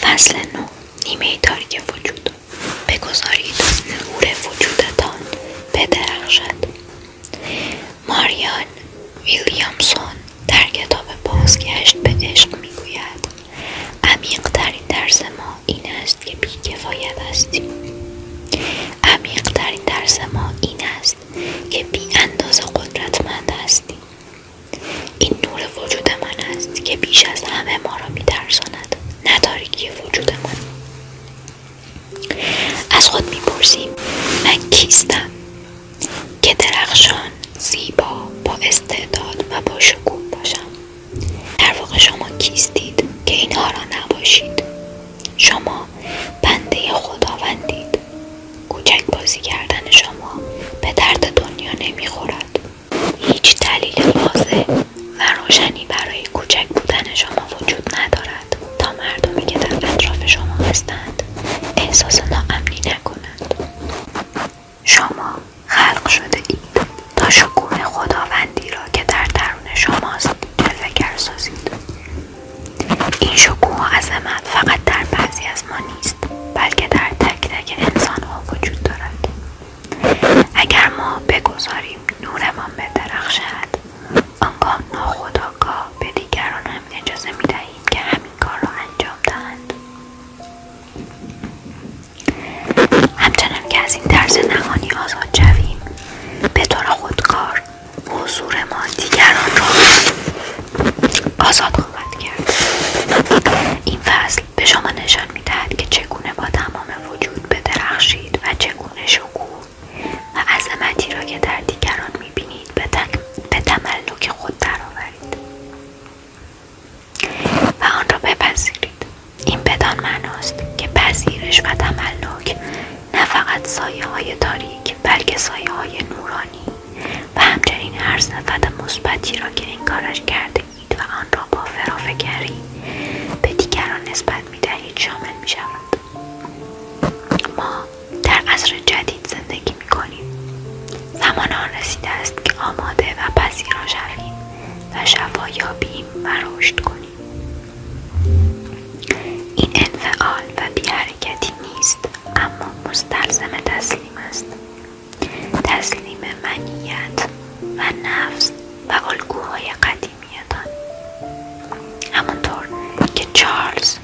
فصل نو نیمه تاریک وجود بگذارید نور وجودتان بدرخشد ماریان ویلیامسون در کتاب بازگشت به عشق میگوید عمیقترین درس ما این است که بیکفایت هستیم عمیقترین درس ما این است که بی اندازه قدرتمند هستیم این نور وجود من است که بیش از همه ما را میترساند نداریکی وجود من از خود میپرسیم من کیستم که درخشان زیبا با استعداد و با شکوه باشم در واقع شما کیستید که اینها را نباشید شما بنده خداوندید کوچک بازی کردن شما به درد دنیا نمیخورد هیچ دلیل واضح و روشنی برای کوچک بودن شما وجود ندارد تا مردمی که در اطراف شما هستند احساس ناامنی نکنند شما خلق شده اید تا شکوه خداوندی را که در درون شماست جلوگر سازید این شکوه و عظمت فقط در بعضی از ما نیست بلکه در تک تک انسان ها وجود دارد اگر ما بگذاریم نورمان بدرخشد آنگاه ناخداگاه به دیگران هم اجازه می دهیم که همین کار را انجام دهند همچنان که از این طرز نهانی آزاد شویم به طور خودکار حضور ما دیگران را آزاد خواهد کرد این فصل به شما نشان میدهد که چگونه با تمام وجود درخشید و چگونه شکوه و عظمتی را که در دیگران میبینید به, به تملک خود درآورید و آن را بپذیرید این بدان معناست که پذیرش و تملک نه فقط سایه های تاریک بلکه سایه های نورانی و همچنین هر صفت مثبتی را که این کارش کرده اید و آن را با فرافکری به دیگران نسبت می دهید شامل می شود ما در عصر جدید زندگی می کنیم زمان آن رسیده است که آماده و پذیرا شویم و شفا یابیم و رشد کنیم این انفعال و بی نیست اما مستلزم تسلیم است تسلیم منیت و نفس و الگوهای قدیمیتان همانطور که چارلز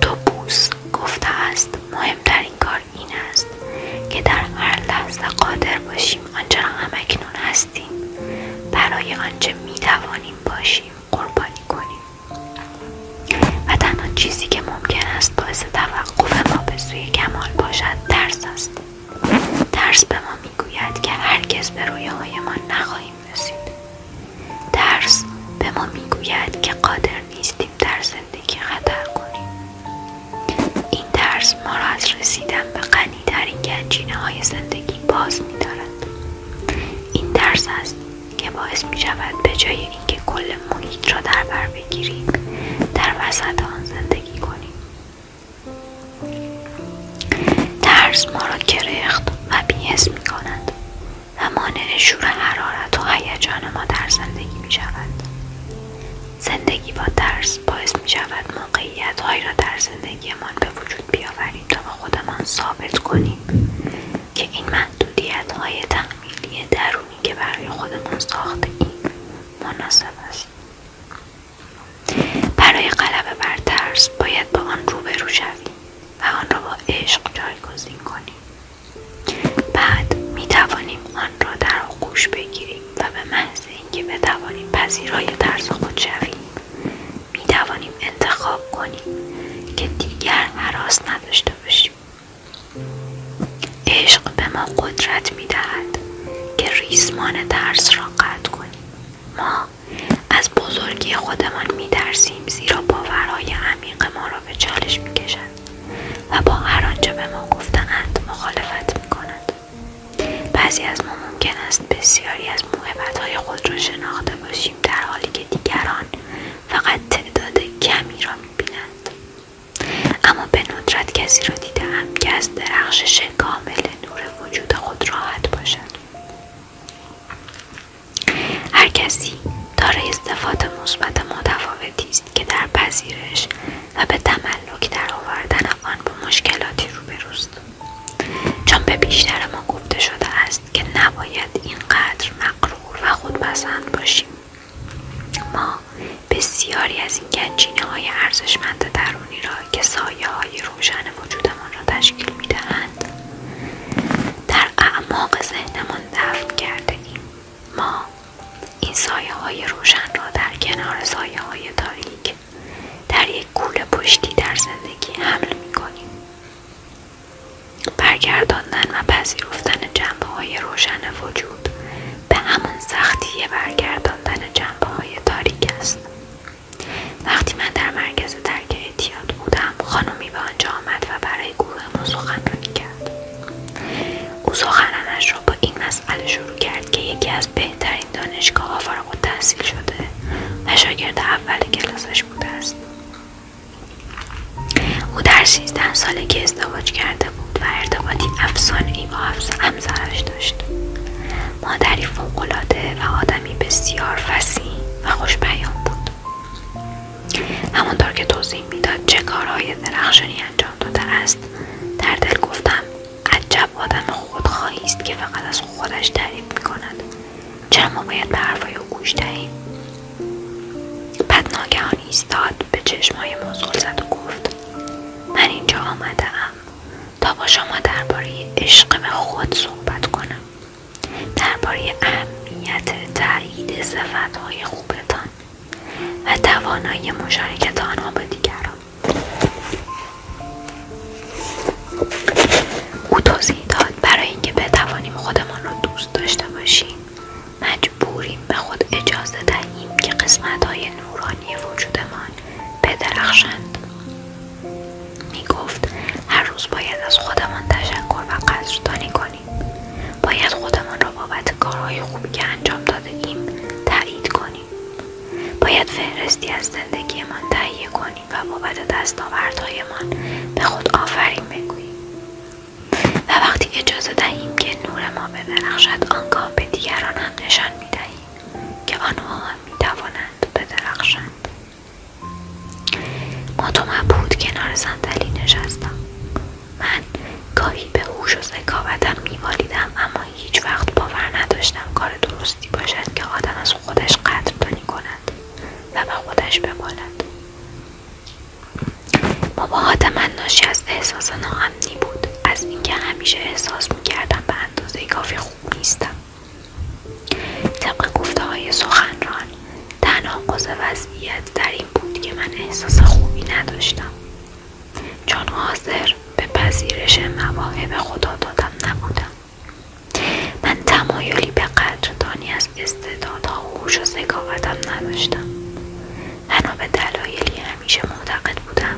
دوبوس گفته است مهمترین کار این است که در هر لحظه قادر باشیم آنچه همکنون هستیم برای آنچه میتوانیم باشیم قربانی کنیم و تنها چیزی که ممکن است باعث توقف ما به سوی کمال باشد درس است درس به ما میگوید که هرگز به ما نخواهیم رسید درس به ما میگوید که قادر نیستیم در زندگی خطر کنیم این درس ما را از رسیدن به غنیترین گنجینه های زندگی باز میدارد این درس است که باعث می شود به جای اینکه کل محیط را در بر در وسط آن زندگی کنیم ترس ما را کرخت و بیهس می کند و مانع شور حرارت و هیجان ما در زندگی می زندگی با ترس باعث می شود موقعیت را در زندگیمان به وجود بیاوریم تا به خودمان ثابت کنیم که این محدودیت های تحمیلی در مفهومی که برای خودمون ساخته این مناسب است برای قلب بر ترس باید با آن روبرو شویم و آن را با عشق جایگزین کنیم بعد می توانیم آن را در آغوش بگیریم و به محض اینکه بتوانیم پذیرای ترس خود شویم می توانیم انتخاب کنیم که دیگر هراس نداشته باشیم عشق به ما قدرت می دهد که ریسمان ترس را قطع کنیم ما از بزرگی خودمان می درسیم زیرا باورهای عمیق ما را به چالش می کشند و با هر آنچه به ما گفتند مخالفت می کنند بعضی از ما ممکن است بسیاری از های خود را شناخته باشیم در حالی که دیگران فقط تعداد کمی را می بینند اما به ندرت کسی را دیدم که از درخشش کامل نور وجود خود راحت باشد هر کسی دارای استفاده مثبت متفاوتی است که در پذیرش و به تملک در آوردن آن با مشکلاتی روبروست چون به بیشتر ما گفته شده است که نباید اینقدر مقرور و خودپسند باشیم ما بسیاری از این گنجینه های ارزشمند درونی را که سایه های روشن وجودمان را تشکیل می در اعماق ذهنمان دفن کرده ایم ما این سایه های روشن را در کنار سایه های تاریک در یک کوله پشتی در زندگی حمل می کنیم برگرداندن و پذیرفتن جنبه های روشن وجود به همان سختی برگرداندن جنبه های تاریک است وقتی من در مرکز درک اعتیاد بودم خانمی به آنجا آمد و برای گروه ما سخنرانی کرد او سخنانش را با این مسئله شروع کرد که یکی از بهترین دانشگاهها و تحصیل شده و شاگرد اول کلاسش بوده است او در سالی که ازدواج کرده بود و ارتباطی افسانهای با همسرش داشت مادری فوقالعاده و آدمی بسیار فسی و خوشبیان بود همانطور که توضیح میداد چه کارهای درخشانی انجام داده است در دل گفتم عجب آدم خودخواهی است که فقط از خودش تعریف میکند چرا ما باید به حرفهای او گوش دهیم بعد ناگهان ایستاد به چشمهای مزغل زد و گفت من اینجا آمده تا با شما درباره عشق به خود صحبت کنم درباره اهمیت تایید صفتهای خوبتان و توانایی مشارکت آنها با دیگران او توضیح داد برای اینکه بتوانیم خودمان را دوست داشته باشیم مجبوریم به خود اجازه دهیم که قسمت های نورانی وجودمان بدرخشند می گفت هر روز باید از خودمان تشکر و قدردانی کنیم باید خودمان را بابت کارهای خوبی که انجام دادهایم تایید کنیم باید فهرستی از زندگیمان تهیه کنیم و بابت دستاوردهایمان به خود آفرین بگوییم و وقتی اجازه دهیم که نور ما ببرخشد آنگاه به دیگران هم نشان می دهیم که آنها هم می توانند بدرخشند ما بود کنار صندلی نشستم من گاهی به هوش و ذکاوتم میمالیدم اما هیچ وقت باور نداشتم کار درستی باشد که آدم از خودش قدردانی کند و به خودش بمالد مباهات من ناشی از احساس ناامنی بود از اینکه همیشه احساس میکردم به اندازه کافی خوب نیستم طبق گفته های سخنران تنها قضا وضعیت در این بود که من احساس خوبی نداشتم چون حاضر به پذیرش مواهب خدا دادم نبودم من تمایلی به قدردانی از استعدادها و هوش و نداشتم هنو به دلایلی همیشه معتقد بودم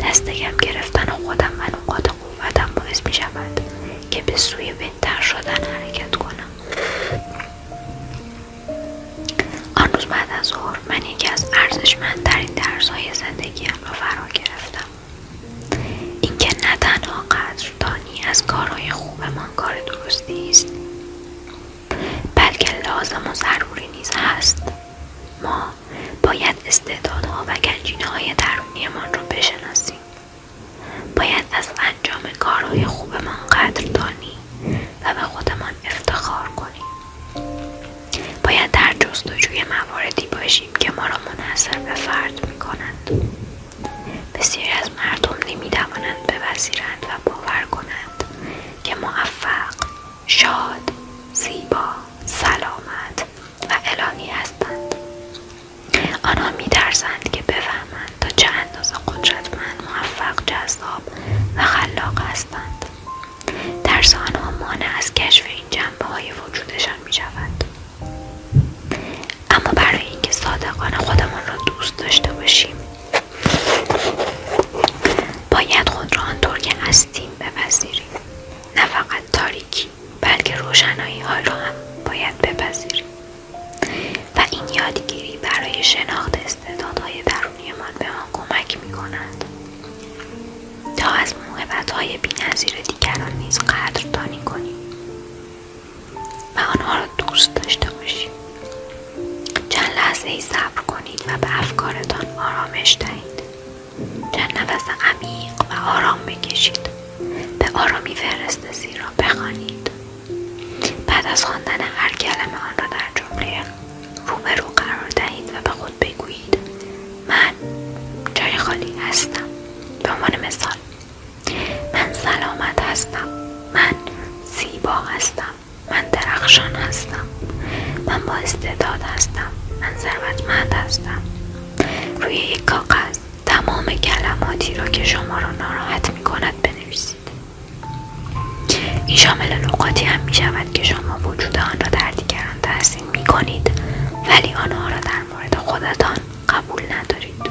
دستگم گرفتن و خودم و نقاط قوتم باعث می شود که به سوی بهتر شدن حرکت کنم آن روز بعد از ظهر من یکی از ارزشمندترین درسهای زندگیم را فرا گرفتم اینکه نه تنها قدردانی از کارهای من کار درستی است بلکه لازم و ضروری نیز هست ما باید استعدادها و گنجینه درونی درونیمان را بشناسیم باید از انجام کارهای خوبمان قدردانی و به خودمان افتخار کنیم باید در جستجوی مواردی باشیم که ما را منحصر به فرد می کنند. بسیاری از مردم نمی توانند بپذیرند و باور کنند که موفق، شاد، زیبا، سلامت و الانی هستند. آنها میترسند که بفهمند تا چه اندازه من موفق، جذاب و خلاق هستند. ترس آنها مانع از کشف این جنبه وجودشان می اما برای اینکه صادقان خودمان را دوست داشته باشیم باید خود را آنطور که تیم بپذیریم نه فقط تاریکی بلکه روشنایی ها را هم باید بپذیریم و این یادگیری برای شناخت استعدادهای ما به ما کمک می کند تا از موهبت های بی دیگران نیز قدردانی کنیم و آنها را دوست داشته باشیم چند لحظه ای صبر کنید و به افکارتان آرامش دهید چند نفس عمیق و آرام بکشید به آرامی زیر را بخوانید بعد از خواندن هر کلمه آن را در جمله رو قرار دهید و به خود بگویید من جای خالی هستم به عنوان مثال من سلامت هستم من زیبا هستم من درخشان هستم من با استعداد هستم من ثروتمند هستم روی یک کاغذ تمام کلماتی را که شما را ناراحت می کند بنویسید این شامل نقاطی هم می شود که شما وجود آن را در دیگران تحسین می کنید ولی آنها را در مورد خودتان قبول ندارید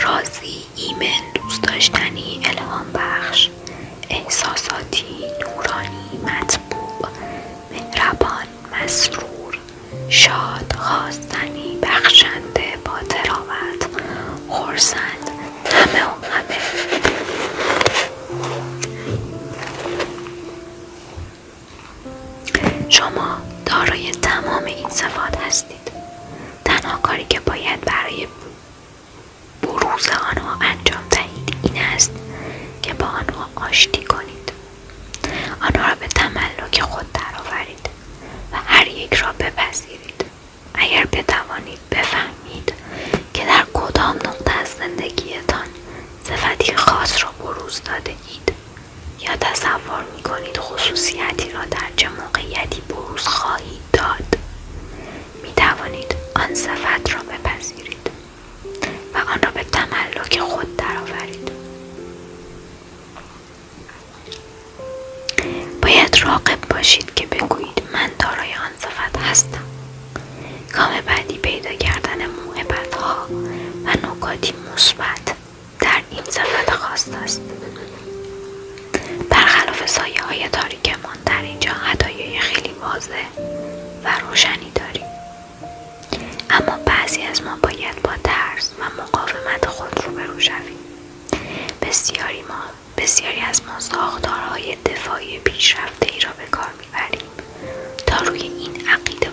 رازی ایمن دوست داشتنی الهام بخش احساساتی نورانی مطبوع مهربان مسرور شاد خواستنی بخشنده با تراوت خورسند همه و همه شما دارای تمام این صفات هستید تنها کاری که باید برای بروز آنها انجام دهید این است که با آنها آشتی کنید آنها را به تملک خود درآورید و هر یک را بپذیرید اگر بتوانید بفهمید که در کدام نقطه از زندگیتان صفتی خاص را بروز داده اید یا تصور تصور می خصوصیتی را در چه موقعیتی بروز خواهید داد می توانید آن صفت را بپذیرید و آن را به تملک خود درآورید باید راقب باشید که بگویید من دارای آن صفت هستم کام بعدی پیدا کردن موهبت ها و نکاتی مثبت در این سفت خواست است برخلاف سایه های تاریکمان در اینجا هدایه خیلی واضح و روشنی داریم اما بعضی از ما باید با ترس و مقاومت خود روبرو شویم بسیاری ما بسیاری از ما ساختارهای دفاعی پیشرفته ای را به کار میبریم تا روی این عقیده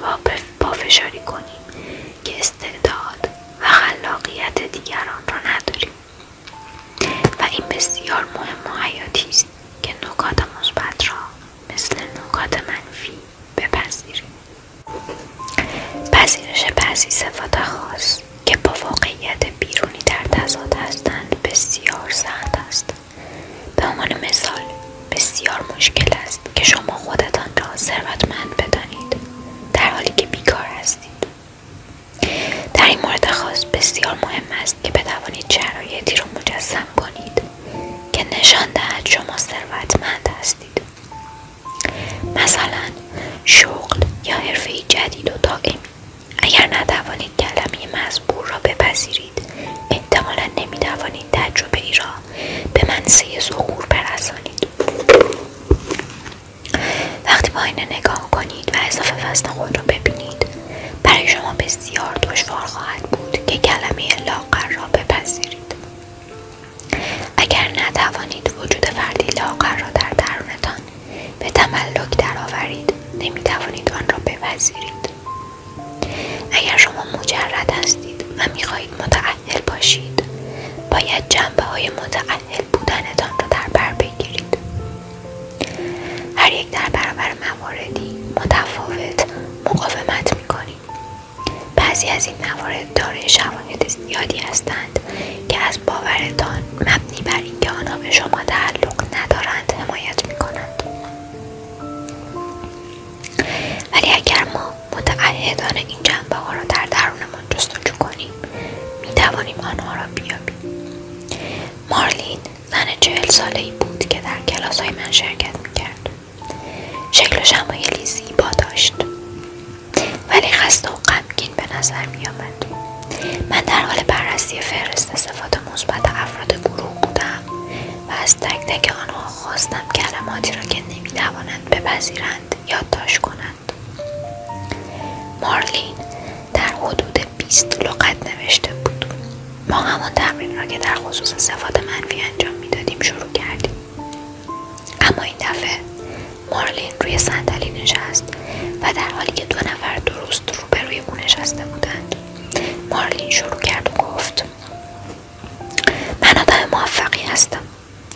پافشاری کنیم که استعداد و خلاقیت دیگران را نداریم و این بسیار مهم و حیاتی است که نکات مثبت را مثل نکات منفی بپذیریم پذیرش بعضی صفات خاص که با واقعیت بیرونی در تضاد هستند بسیار سخت است به عنوان مثال بسیار مشکل است که شما خودتان را ثروتمند بدانید در حالی که بیکار هستید در این مورد خاص بسیار مهم است که بتوانید شرایطی را مجسم کنید که نشان دهد شما ثروتمند هستید مثلا شغل یا حرفه جدید و دائمی اگر نتوانید کلمه مزبور را بپذیرید احتمالا نمیتوانید تجربه ای را به منسه ظهور برسانید وقتی با نگاه کنید و اضافه وزن خود را ببینید برای شما بسیار دشوار خواهد بود که کلمه لاقر را بپذیرید اگر نتوانید وجود فردی لاقر را در درونتان به تملک درآورید نمیتوانید آن را بپذیرید اگر شما مجرد هستید و میخواهید متعهل باشید باید جنبه های متعهل متحل را در بر بگیرید هر یک در برابر مواردی متفاوت مقاومت میکنیم بعضی از این موارد دارای شواهد زیادی هستند که از باورتان مبنی بر اینکه آنها به شما تعلق ندارند حمایت میکنند ولی اگر ما متعهدان این جنبه ها را در درون خودمان جستجو کنیم می توانیم آنها را بیابیم مارلین زن چهل ساله ای بود که در کلاس های من شرکت می کرد شکل و لیزی زیبا داشت ولی خسته و غمگین به نظر می آمد. من در حال بررسی فهرست صفات مثبت افراد گروه بودم و از تک آنها خواستم کلماتی را که نمی توانند بپذیرند یادداشت کنم مارلین در حدود 20 لغت نوشته بود ما همان تمرین را که در خصوص صفات منفی انجام میدادیم شروع کردیم اما این دفعه مارلین روی صندلی نشست و در حالی که دو نفر درست روبروی او نشسته بودند مارلین شروع کرد و گفت من آدم موفقی هستم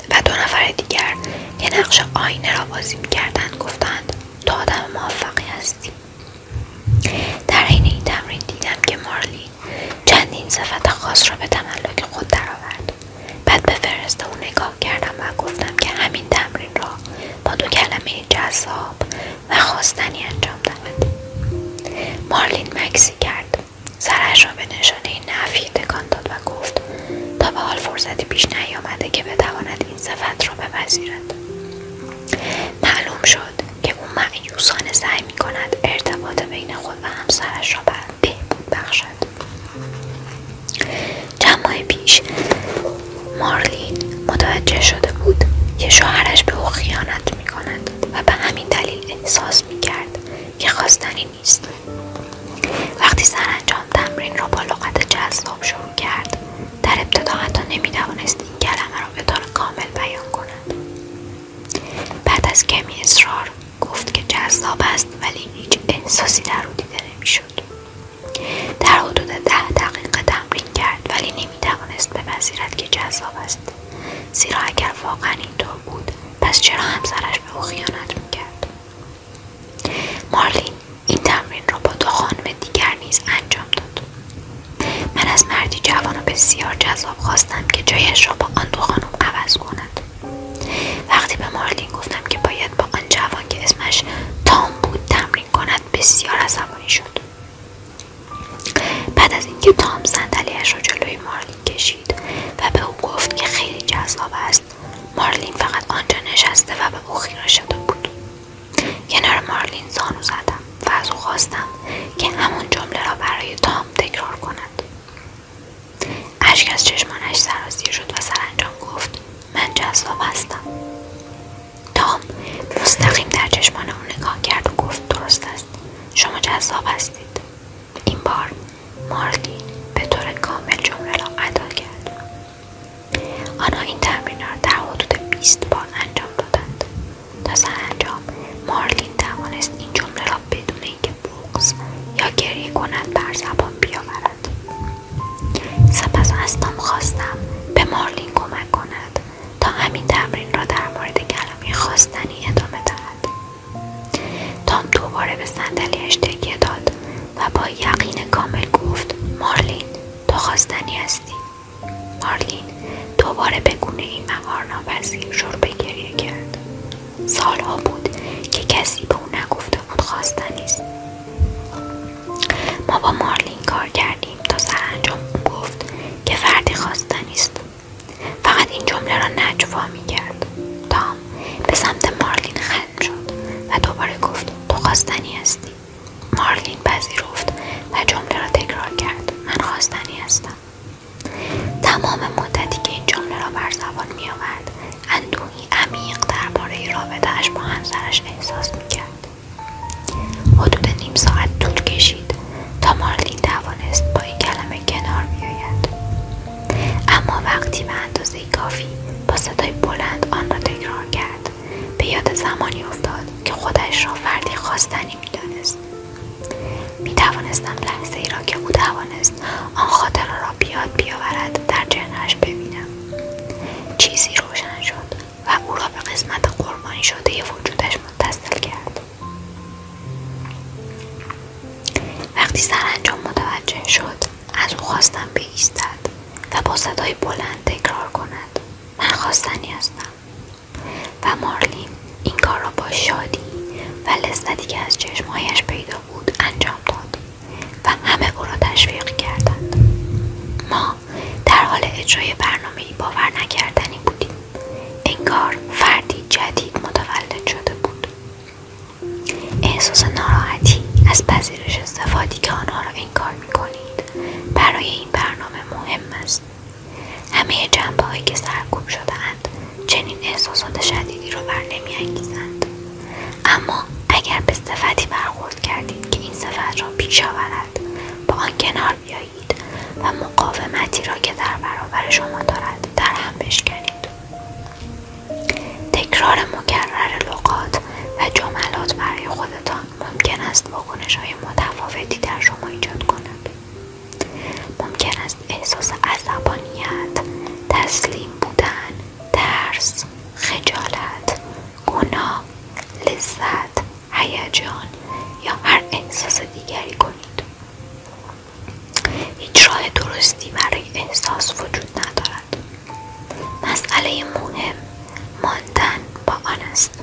و دو نفر دیگر که نقش آینه را بازی میکردند گفتند تو آدم موفقی هستی در حین این تمرین دیدم که مارلی چندین صفت خاص را به تملک خود درآورد بعد به فرست او نگاه کردم و گفتم که همین تمرین را با دو کلمه جذاب و خواستنی انجام دهد مارلین مکسی کرد سرش را به نشانه نفی تکان داد گفت تا به حال فرصتی پیش نیامده که بتواند این صفت را بپذیرد معلوم شد که او معیوسانه سعی می ارتباط بین خود و همسرش را بهبود بخشد چند پیش مارلین متوجه شده بود که شوهرش به او خیانت می و به همین دلیل احساس می کرد که این نیست وقتی سرانجام تمرین را با لغت جذاب شروع کرد در ابتدا حتی توانست این کلمه را به طور کامل بیان کند بعد از کمی اصرار گفت که جذاب است ولی هیچ احساسی در او دیده شد. در حدود ده دقیقه تمرین کرد ولی نمی به بپذیرد که جذاب است زیرا اگر واقعا اینطور بود پس چرا همسرش به او خیانت میکرد مارلین این تمرین را با دو خانم دیگر نیز انجام داد من از مردی جوان و بسیار جذاب خواستم که جایش را با آن دو خانم عوض کند وقتی به مارلین گفتم که باید با آن جوان که اسمش تام بود تمرین کند بسیار عصبانی شد بعد از اینکه تام صندلیاش را جلوی مارلین کشید و به او گفت که خیلی جذاب است مارلین فقط آنجا نشسته و به او شده بود کنار مارلین زانو زدم و از او خواستم که همون جمله را برای تام تکرار کند اشک از چشمانش سرازیر شد و سرانجام گفت من جذاب هستم تام مستقیم در چشمان او نگاه کرد و گفت درست است شما جذاب هستید این بار مارلین به طور کامل جمله را ادا کرد. آنها این تمرین را در حدود بیست بار انجام دادند. تا سرانجام مارلین توانست این جمله را بدون اینکه بغض یا گریه کند بر زبان بیاورد. سپس از تام خواستم به مارلین کمک کند تا همین تمرین را در مورد کلامی خواستنی ادامه دهد. تام دوباره به صندلیاش تکیه داد و با یقین کامل گفت مارلین تو خواستنی هستی مارلین دوباره بگونه این مهار ناپذیر شروع به گریه کرد سالها بود که کسی به او نگفته بود خواستنی است ما با مارلین کار کردیم تا سرانجام او گفت که فردی خواستنی است فقط این جمله را نجوا می کرد تام به سمت مارلین خند شد و دوباره گفت تو خواستنی هستی مارلین پذیرفت و جمله را تکرار کرد من خواستنی هستم تمام مدتی که این جمله را بر زبان می آورد اندوهی عمیق درباره رابطهاش با همسرش احساس می کرد حدود نیم ساعت طول کشید تا مارلین توانست با این کلمه کنار بیاید اما وقتی به اندازه کافی با صدای بلند آن را تکرار کرد به یاد زمانی افتاد که خودش را فردی خواستنی میدانست میتوانستم لحظه ای را که او توانست آن خاطره را بیاد بیاورد در جنرش ببینم چیزی روشن شد و او را به قسمت قرمانی شده وجودش متصل کرد وقتی سرانجام متوجه شد از او خواستم بایستد و با صدای بلند تکرار کند من خواستنی هستم و مارلین این کار را با شادی و لذتی که از چشمهایش پیدا بود انجام داد و همه او را تشویق کردند ما در حال اجرای برنامه باور نکردنی بودیم انگار فردی جدید متولد شده بود احساس ناراحتی از پذیرش استفادی که آنها را انکار می کنید برای این برنامه مهم است. همه جنبه هایی که سرکوب شده اند چنین احساسات شدیدی را بر نمی اما اگر به صفتی برخورد کردید که این صفت را پیش آورد با آن کنار بیایید و مقاومتی را که در برابر شما دارد در هم بشکنید تکرار مکرر لغات و جملات برای خودتان ممکن است واکنش های متفاوتی در شما ایجاد کند ممکن است احساس عصبانیت تسلیم بودن ترس خجالت گناه لذت هیجان یا هر احساس دیگری کنید هیچ راه درستی برای احساس وجود ندارد مسئله مهم ماندن با آن است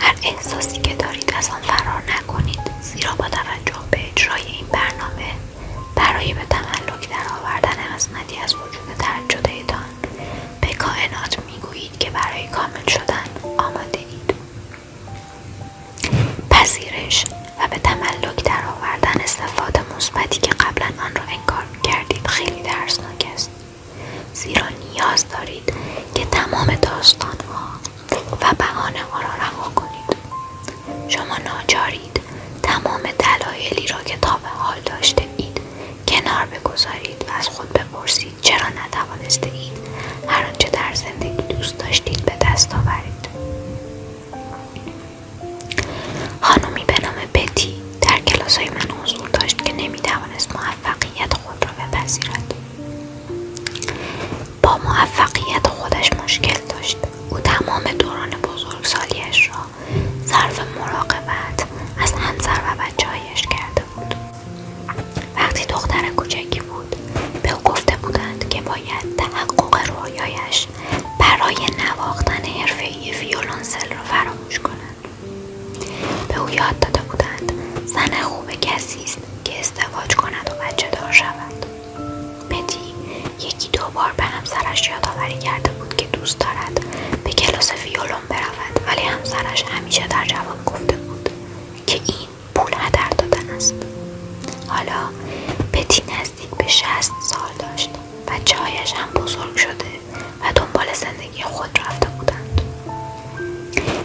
هر احساسی که دارید از آن فرار نکنید زیرا با توجه به اجرای این برنامه برای به تملک آوردن قسمتی از وجود ترجدهتان به کائنات میگویید که برای کامل شدن آماده اید پذیرش و به تملک در آوردن استفاده مثبتی که قبلا آن را انکار کردید خیلی درسناک است زیرا نیاز دارید که تمام داستانها و بهانه ها را رها کنید شما ناچارید تمام دلایلی را که تا به حال داشته اید کنار بگذارید و از خود بپرسید چرا نتوانسته اید هر آنچه در زندگی دوست داشتید به دست آورید خانومی به نام بتی در کلاس من حضور داشت که نمیتوانست موفقیت خود را بپذیرد با موفقیت خودش مشکل داشت او تمام دوران بزرگسالیش را صرف مراقبت از همسر و بچههایش کرده بود وقتی دختر کوچکی بود به او گفته بودند که باید تحقق رویایش برای نواختن ای ویولونسل را فراموش کند به او یاد داده بودند زن خوب کسی است که ازدواج کند و بچه دار شود پتی یکی دو بار به همسرش یادآوری کرده بود که دوست دارد به کلاس ویولون برود ولی همسرش همیشه در جواب گفته بود که این پول هدر دادن است حالا پتی نزدیک به شست سال داشت و چایش هم بزرگ شده و دنبال زندگی خود رفته بودند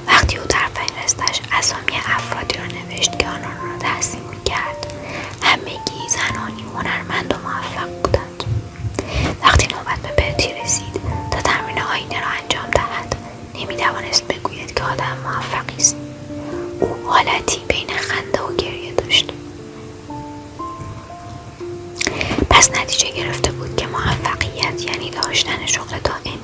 وقتی او در فهرستش اسامی افرادی را نوشت که آنان را تحسین میکرد همگی زنانی هنرمند و موفق بودند وقتی نوبت به پتی رسید تا تمرین آینه را انجام دهد نمیتوانست بگوید که آدم موفقی است او حالتی بین خنده و گریه داشت پس نتیجه گرفته بود که موفقیت یعنی داشتن شغل دائمی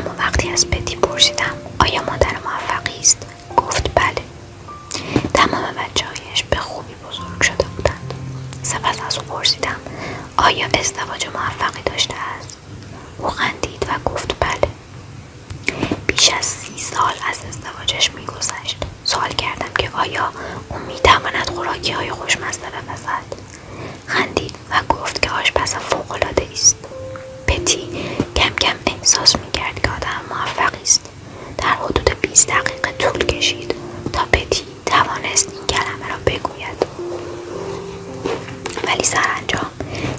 اما وقتی از پتی پرسیدم آیا مادر موفقی است گفت بله تمام بچههایش به خوبی بزرگ شده بودند سپس از او پرسیدم آیا ازدواج موفقی داشته است او خندید و گفت بله بیش از سی سال از ازدواجش میگذشت سوال کردم که آیا او میتواند خوراکی های خوشمزه بپزد خندید و گفت که آشپز فوقالعاده است پتی کم کم احساس میکرد که آدم موفقی است در حدود 20 دقیقه طول کشید تا پتی توانست این کلمه را بگوید ولی سرانجام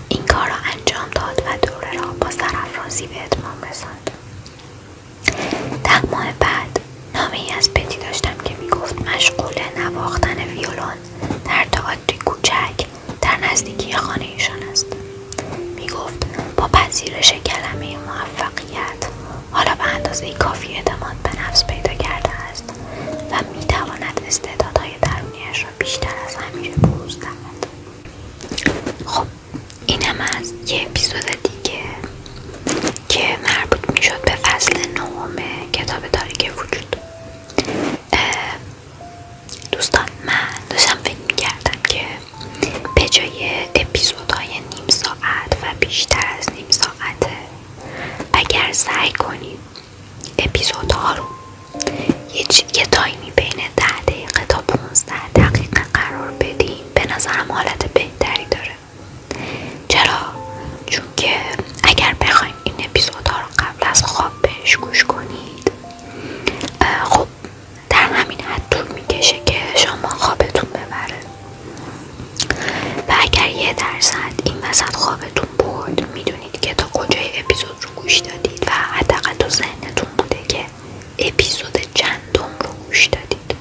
این کار را انجام داد و دوره را با سرافرازی به اتمام رساند در ده ماه بعد نامه ای از پتی داشتم که میگفت مشغول نواختن ویولون در تئاتری کوچک در نزدیکی خانه ایشان است میگفت با پذیرش کلمه موفقیت حالا به اندازه کافی اعتماد به نفس پیدا کرده است و میتواند استعدادهای درونیش را بیشتر از همیشه بروز دهد خب اینم از یه اپیزود دیگه که مربوط میشد به فصل نهم کتاب تاریک وجود دوستان من داشتم فکر میکردم که به جای اپیزودهای نیم ساعت و بیشتر از نیم ساعت اگر سعی کنید اپیزودها رو یه, یه تایمی بین ده دقیقه تا 15 دقیقه قرار بدیم به نظرم حالت بهتری داره چرا؟ چونکه اگر بخوایم این اپیزودها رو قبل از خواب بهش گوش کنید خب در همین حد طول میکشه که شما خوابتون ببره و اگر یه درصد این وسط خوابتون برد میدونید که تا کجای اپیزود رو گوش دادید و حداقل تو ذهنتون بوده که اپیزود چندم رو گوش دادید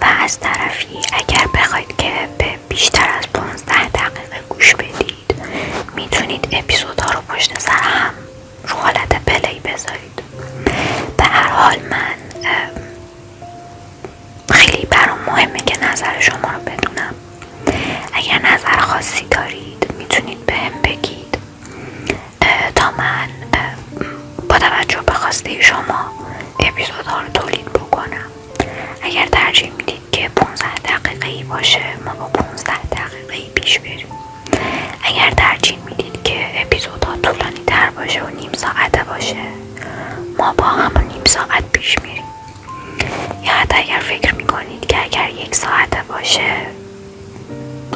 و از طرفی اگر بخواید که به بیشتر از 15 دقیقه گوش بدید میتونید ها رو پشت سر هم رو حالت پلی بذارید به هر حال من خیلی برام مهمه که نظر شما رو بدونم اگر نظر خاصی دارید میتونید بهم بگید تا من با توجه به خواسته شما اپیزودها رو تولید بکنم اگر ترجیح میدید که 15 دقیقه باشه ما با 15 دقیقه ای پیش میریم اگر ترجیح میدید که ها طولانی در باشه و نیم ساعته باشه ما با همون نیم ساعت پیش میریم یا حتی اگر فکر میکنید که اگر یک ساعته باشه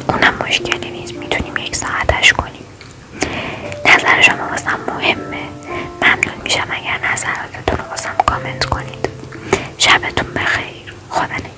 اونم مشکلی نیست میتونیم یک ساعتش کنیم نظر شما واسم مهمه ممنون میشم اگر نظراتتون رو واسم کامنت کنید شبتون بخیر خدا نگه.